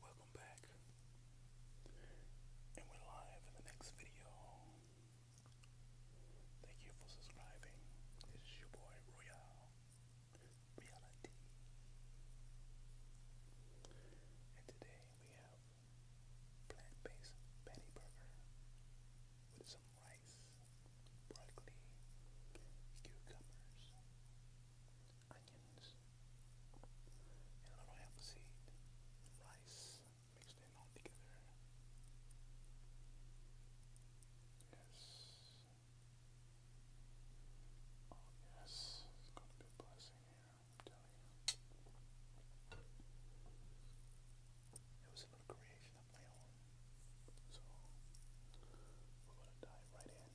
Welcome back. And we're live in the next video. Thank you for subscribing. This is your boy Royale Reality. And today we have plant-based patty burger with some rice, broccoli, cucumbers, onions, a little hempseed, rice, mixed in all together. Yes. Oh, yes, it's gonna be a blessing here, I'm telling you. It was a little creation of my own. So we're gonna dive right in.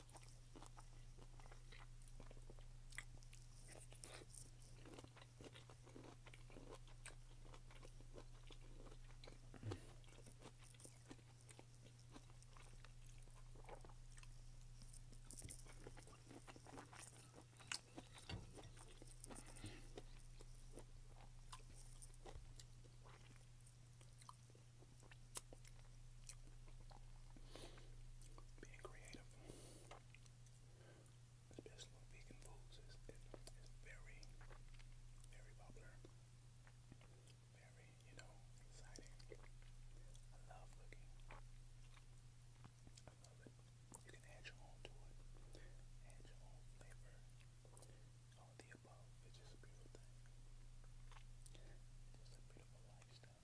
Being creative especially vegan foods, is, is, very, very popular. Very, you know, exciting. I love cooking. I love it. You can add your own to it. Add your own flavor. All the above. It's just a beautiful thing. It's a beautiful lifestyle.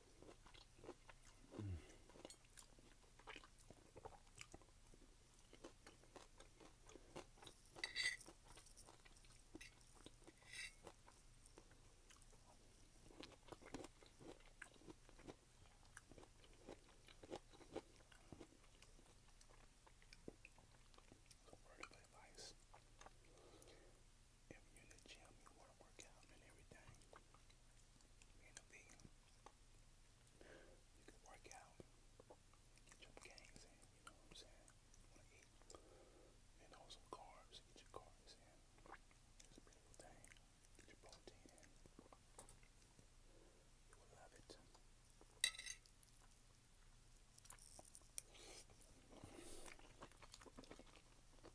So word of advice. If you're in the gym, you want to work out and everything, randomly. You can work out, get your gains in, you know what I'm saying? You know, some carbs, get your carbs in. It's a beautiful thing. Get your protein in. You will love it.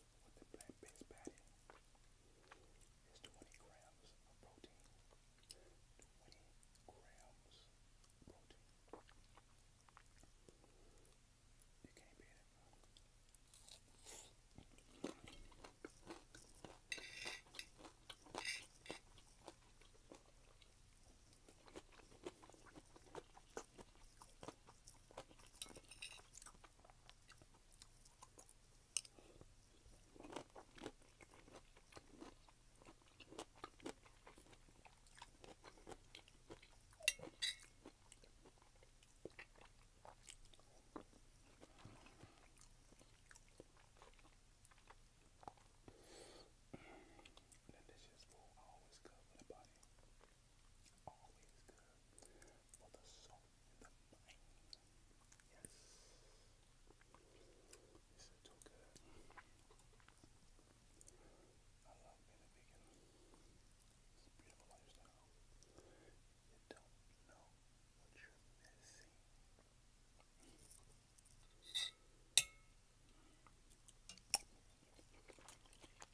with the black base patty is 20 grams of protein. 20 grams of protein. You can't beat it. Then this is full always good for the body. Always good for the soul and the mind. Yes. This too good. I love being a vegan. It's a beautiful lifestyle. You don't know what you're missing.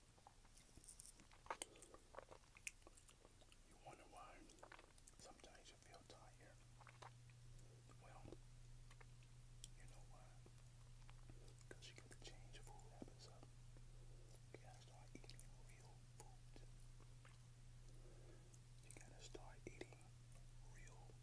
You wonder why sometimes you feel tired. Well, you know why? Because you got to change food habits You gotta start eating real food. You gotta start eating real food.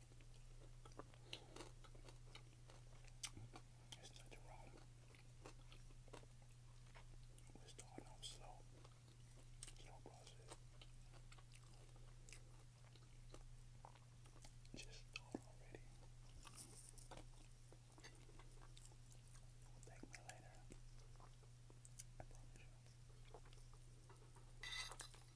There's nothing wrong with starting off slow. Slow process. Just start already. We'll thank later. I promise you.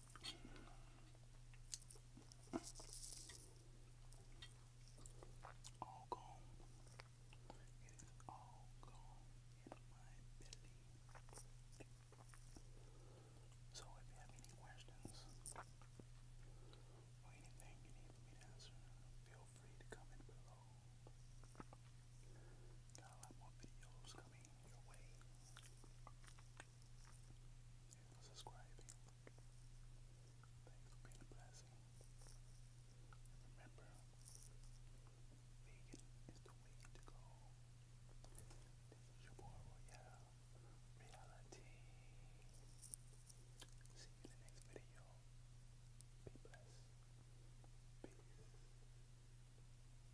All gone. It is all gone in my belly. So if you have any questions or anything you need me to answer, feel free to comment below. Got a lot more videos coming your for subscribing. Thanks for being a blessing. remember, vegan is the way to go. This is your boy Royale Reality. See you in the next video. Be blessed. Peace.